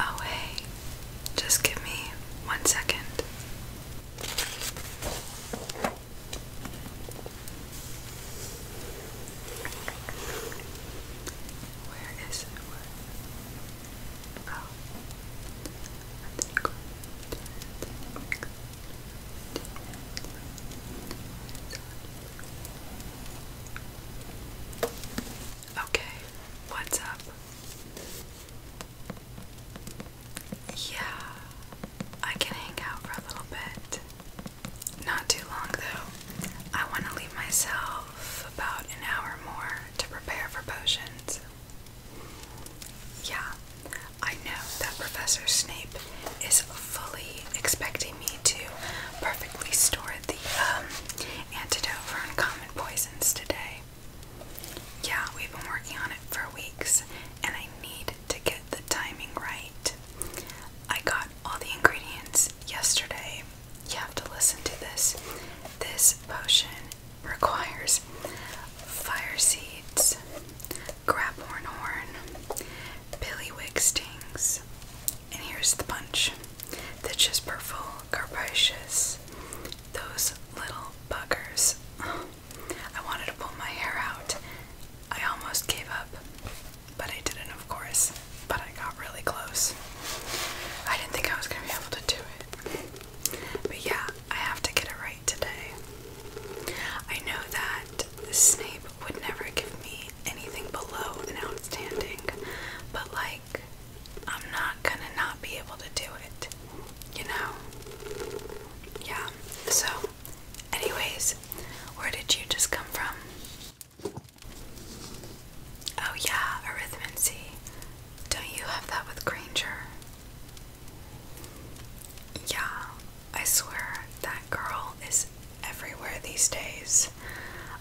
Oh, hey, just give me one second. Where is it? Where? Oh. I think I Okay, what's up? Yeah, I can hang out for a little bit. Not too long though. I want to leave myself about an hour more to prepare for potions. Yeah, I know that Professor Snape is fully expecting me to perfectly store the um, antidote for uncommon poisons today. Yeah, we've been working on it for weeks, and I need to get the timing right. I got all the ingredients yesterday. You have to listen to this. This potion requires fire seeds, graphorn horn, pillywig stings, and here's the punch. Ditches purple, carpaceous, those little buggers. I wanted to pull my hair out. I almost gave up. But I didn't, of course. But I got really close. I didn't think I was going to be able to do it. But yeah, I have to get it right today. I know that Snape would never give me anything below an outstanding, but like, I'm not gonna not be able to do it, you know? Yeah, so Anyways, where did you just come from? Oh, yeah, arithmancy. Don't you have that with Granger? Yeah, I swear that girl is everywhere these days.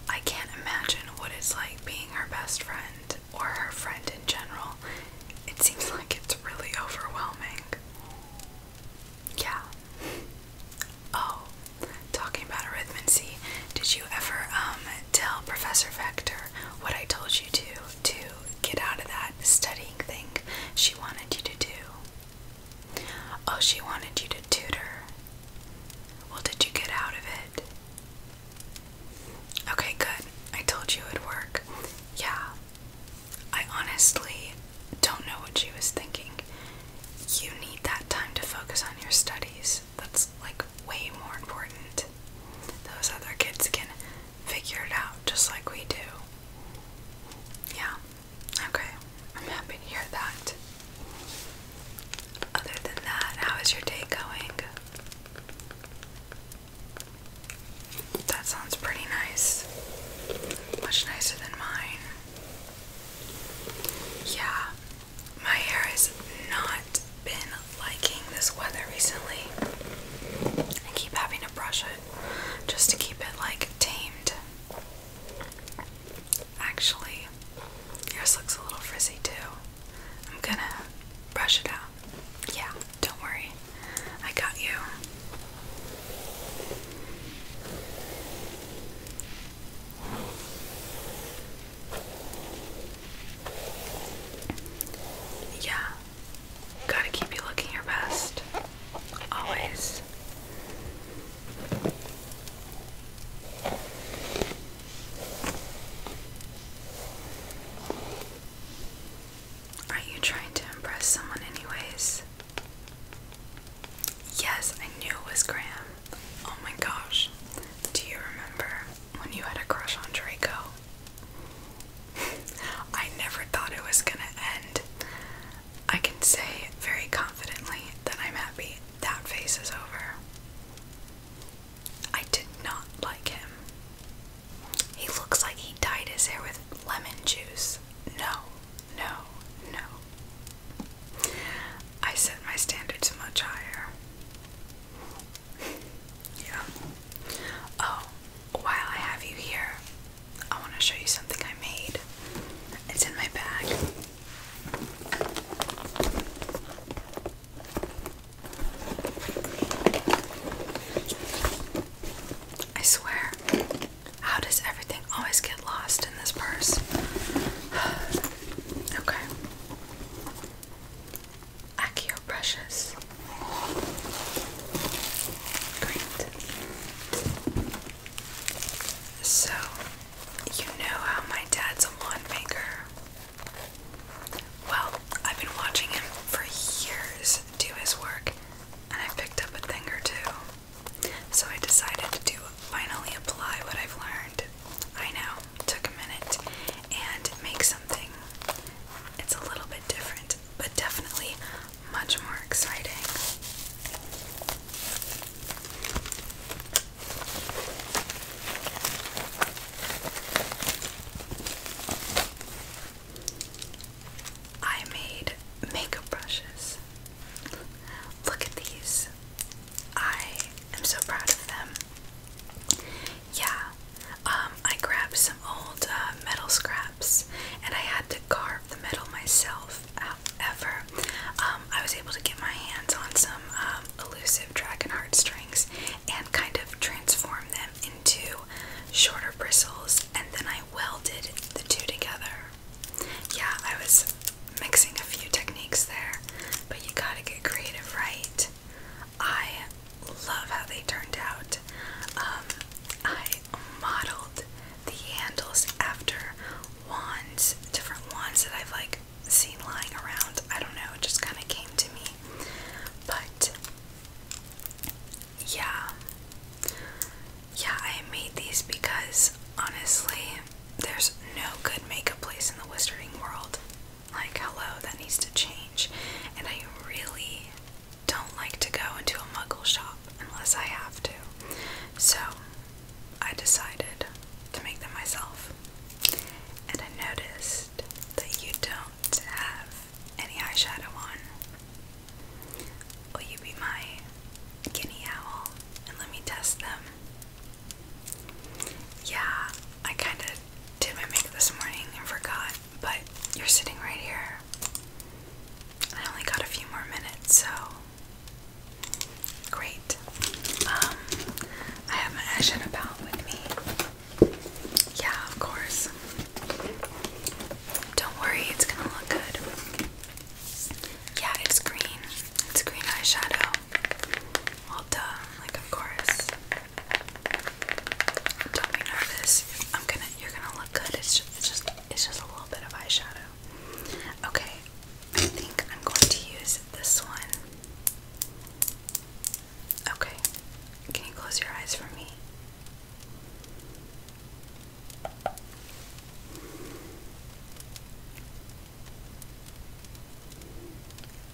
I can't imagine what it's like being her best friend or her friend in general. It seems like it's really overwhelming. Yeah, Oh, talking about arithmancy, did you ever um, tell Professor Vector what I told you to to get out of that studying thing she wanted you to do? Oh, she wanted you to tutor. Well, did you get out of it? Okay, good. I told you it would work. Yeah. I honestly don't know what she was thinking. You need that time to focus on your studies. That's like way more important. Those other kids can figure it out just like we do. Yeah. Okay. I'm happy to hear that. Other than that, how is your day going? That sounds pretty nice. Much nicer than mine. Yeah, my hair has not been liking this weather recently. I keep having to brush it just to keep it like tamed. Actually, yours looks a little frizzy too. I'm gonna brush it out. Yeah, don't worry. I got you. Yeah, gotta keep you looking your best. Always. Are you trying to impress someone, anyways? Yes, I knew it was Graham. Oh my gosh. Do you remember when you had a crush on Draco? I never thought it was gonna end. I can say very confidently that I'm happy that phase is over. I did not like him. He looks like he dyed his hair with lemon juice. No, no, no. I set my standards much higher. yeah. Oh, while I have you here, I want to show you something I made. It's in my bag. I swear, how does everything always get lost in this purse? okay. Accio brushes. Great. So, you know how my dad's a wand maker? Well, I've been watching him for years do his work, and I picked up a thing or two. So I decided to finally apply what I've learned. I know, took a minute, and make something. It's a little bit different, but definitely much more exciting. I made makeup brushes. Look at these. I am so proud of them. Yeah, um, I grabbed some old uh, metal scraps and I had to carve the metal myself. However, um, I was able to get my hands on some um, elusive dragon heart strings and kind of transform them into shorter bristles, and then I welded the two together. Yeah, I was mixing a few techniques there, but you gotta get creative, right? I love how they turned out. Um, I modeled the handles after wands, different wands that I've like seen lying around. I don't know, it just kind of came to me. But yeah, yeah, I made these because honestly, there's no good makeup place in the wizarding world. Like, hello, that needs to change. And I really don't like to go into a muggle shop unless I have to. So, I decided to make them myself. And I noticed that you don't have any eyeshadow on. Will you be my guinea owl and let me test them? Yeah, I kind of did my makeup this morning and forgot, but you're sitting right here. I only got a few more minutes, so great. Um, I have my eyeshadow palette with me. Yeah, of course. Don't worry, it's gonna look good. Yeah, it's green. It's green eyeshadow. Well done, like of course. Don't be nervous. I'm gonna you're gonna look good. It's just it's just it's just a little bit of eyeshadow. Okay, I think I'm going to use this one. Okay. Can you close your eyes for me?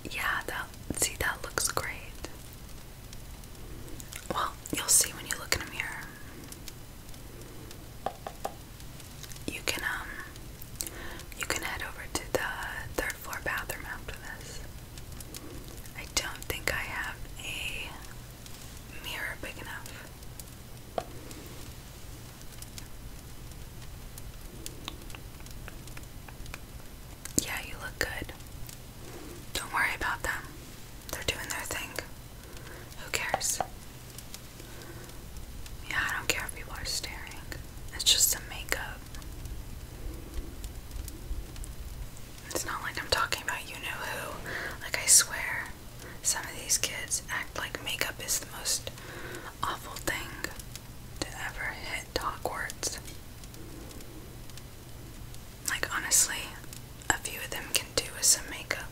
Yeah, that see that looks great. Well, you'll see when you look in a mirror. You can um you can head over to the third floor bathroom after this. I don't think I have a mirror big enough. Yeah, you look good. Don't worry about them. They're doing their thing. Who cares? Yeah, I don't care if people are staring. It's just a makeup. It's not like I'm talking about you know who. Like, I swear, some of these kids act like makeup is the most awful thing to ever hit Hogwarts. Like, honestly, a few of them can do with some makeup.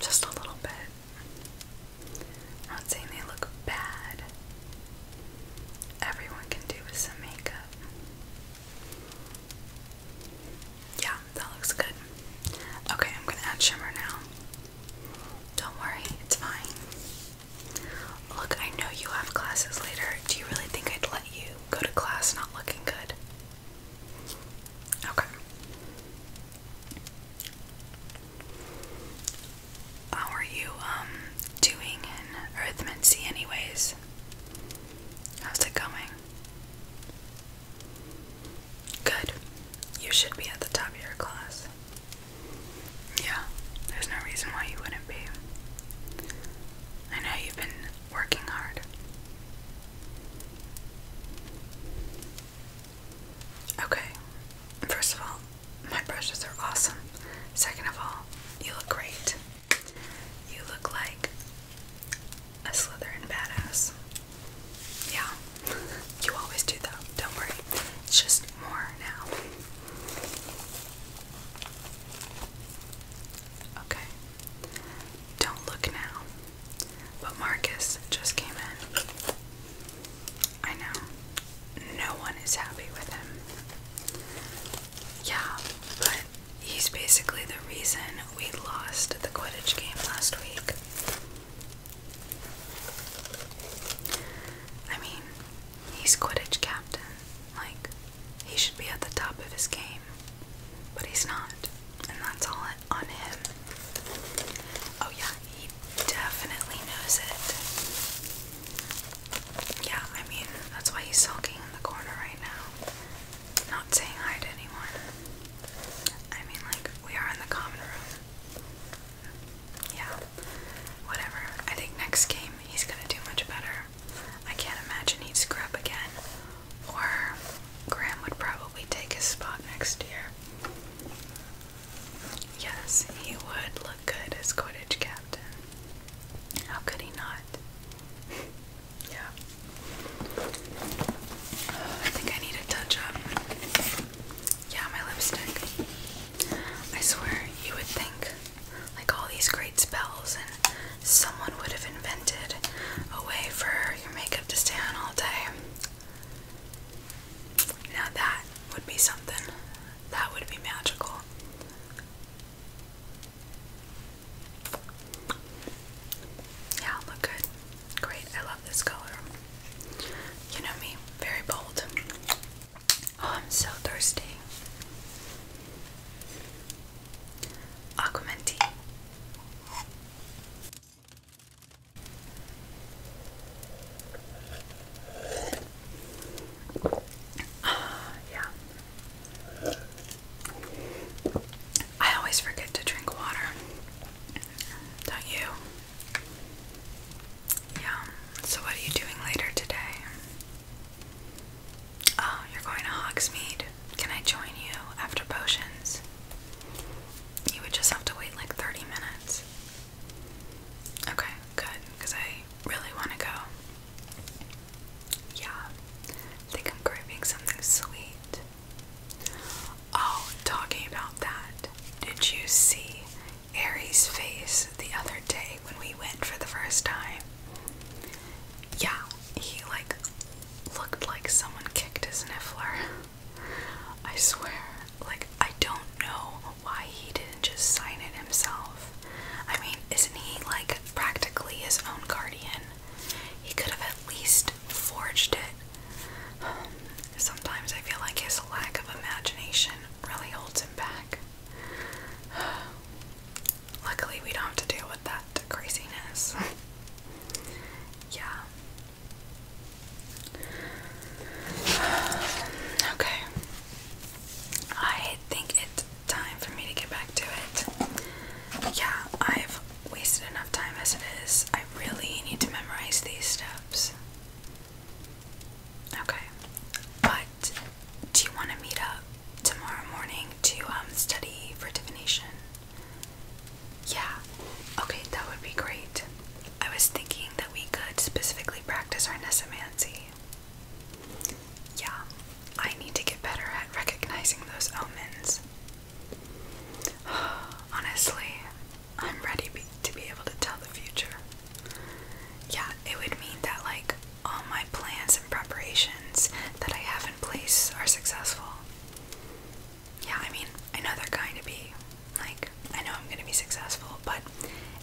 Just a little bit. not saying they look bad. Everyone can do with some makeup. Yeah, that looks good. Okay, I'm gonna add shimmer now. Don't worry, it's fine. Look, I know you have classes later. Do you really think I'd let you go to class not looking good? Okay. How are you um doing in arithmancy anyways? How's it going? Good. You should be at the top of your class. Yeah, there's no reason why you wouldn't be. I know you've been working hard. Okay, first of all, my brushes are awesome. Second of all, you look great. You look like a Slytherin badass. Yeah, you always do though, don't worry. It's just more now. Okay, don't look now. But Marcus just came in. I know. No one is happy with him. Yeah, but he's basically the reason we lost the Quidditch game last week. I mean, he's Quidditch captain. Like, he should be at the top of his game. But he's not. And that's all on him. Oh, yeah, he definitely knows it. Yeah, I mean, that's why he's sulking in the corner right now not saying hi to anyone. I mean, like, we are in the common room. Yeah, whatever. I think next game he's gonna do much better. I can't imagine he'd scrub up again, or Graham would probably take his spot next year. Yes, he would look good as Quidditch captain. How could he not? Yeah. Uh, I think I need a touch up. Yeah, my lipstick. I swear, you would think, like all these great spells, and someone would have invented a way for your makeup to stand all day. Now that would be something. That would be magical. Yeah, look good. Great. I love this color. You know me, very bold. Oh, I'm so thirsty. Aquamenti. Ah, yeah. I always forget to drink water. Don't you? Yeah. So, what are you doing later today? Oh, you're going to Hogsmeade. Can I join you after potions? You would just have to wait like 30 minutes. Okay, good, because I really want to go. Yeah, I think I'm craving something sweet. Oh, talking about that, did you see Ari's face the other day when we went for the first time? Yeah, he like looked like someone kicked his niffler. I swear, like, I don't know why he didn't just sign it himself. I mean, isn't he like practically his own guardian? He could have at least forged it. sometimes I feel like his lack of imagination really holds him back. Luckily, we don't have to deal with that craziness. yeah. okay. I think it's time for me to get back to it. Yeah, I've wasted enough time as it is. I really need to memorize these steps. Okay, but do you want to meet up tomorrow morning to um, study for divination? Yeah, okay, that would be great. I was thinking that we could specifically practice our nesemancy. Yeah, I need to get better at recognizing those omens. Honestly, I'm ready to be able to tell the future. Yeah, it would mean that, like, all my plans and preparations that I have in place are successful. Yeah, I mean, I know they're going to be. Like, I know I'm going to be successful, but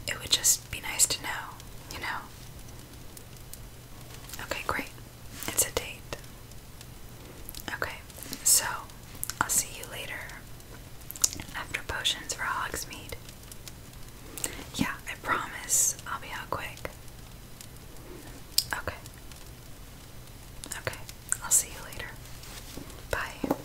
it would just be nice to know, you know? Okay, great. It's a date. Okay, so I'll see you later after potions for Hogsmeade. Yeah, I promise I'll be out quick. Okay. Okay, I'll see you later. Bye.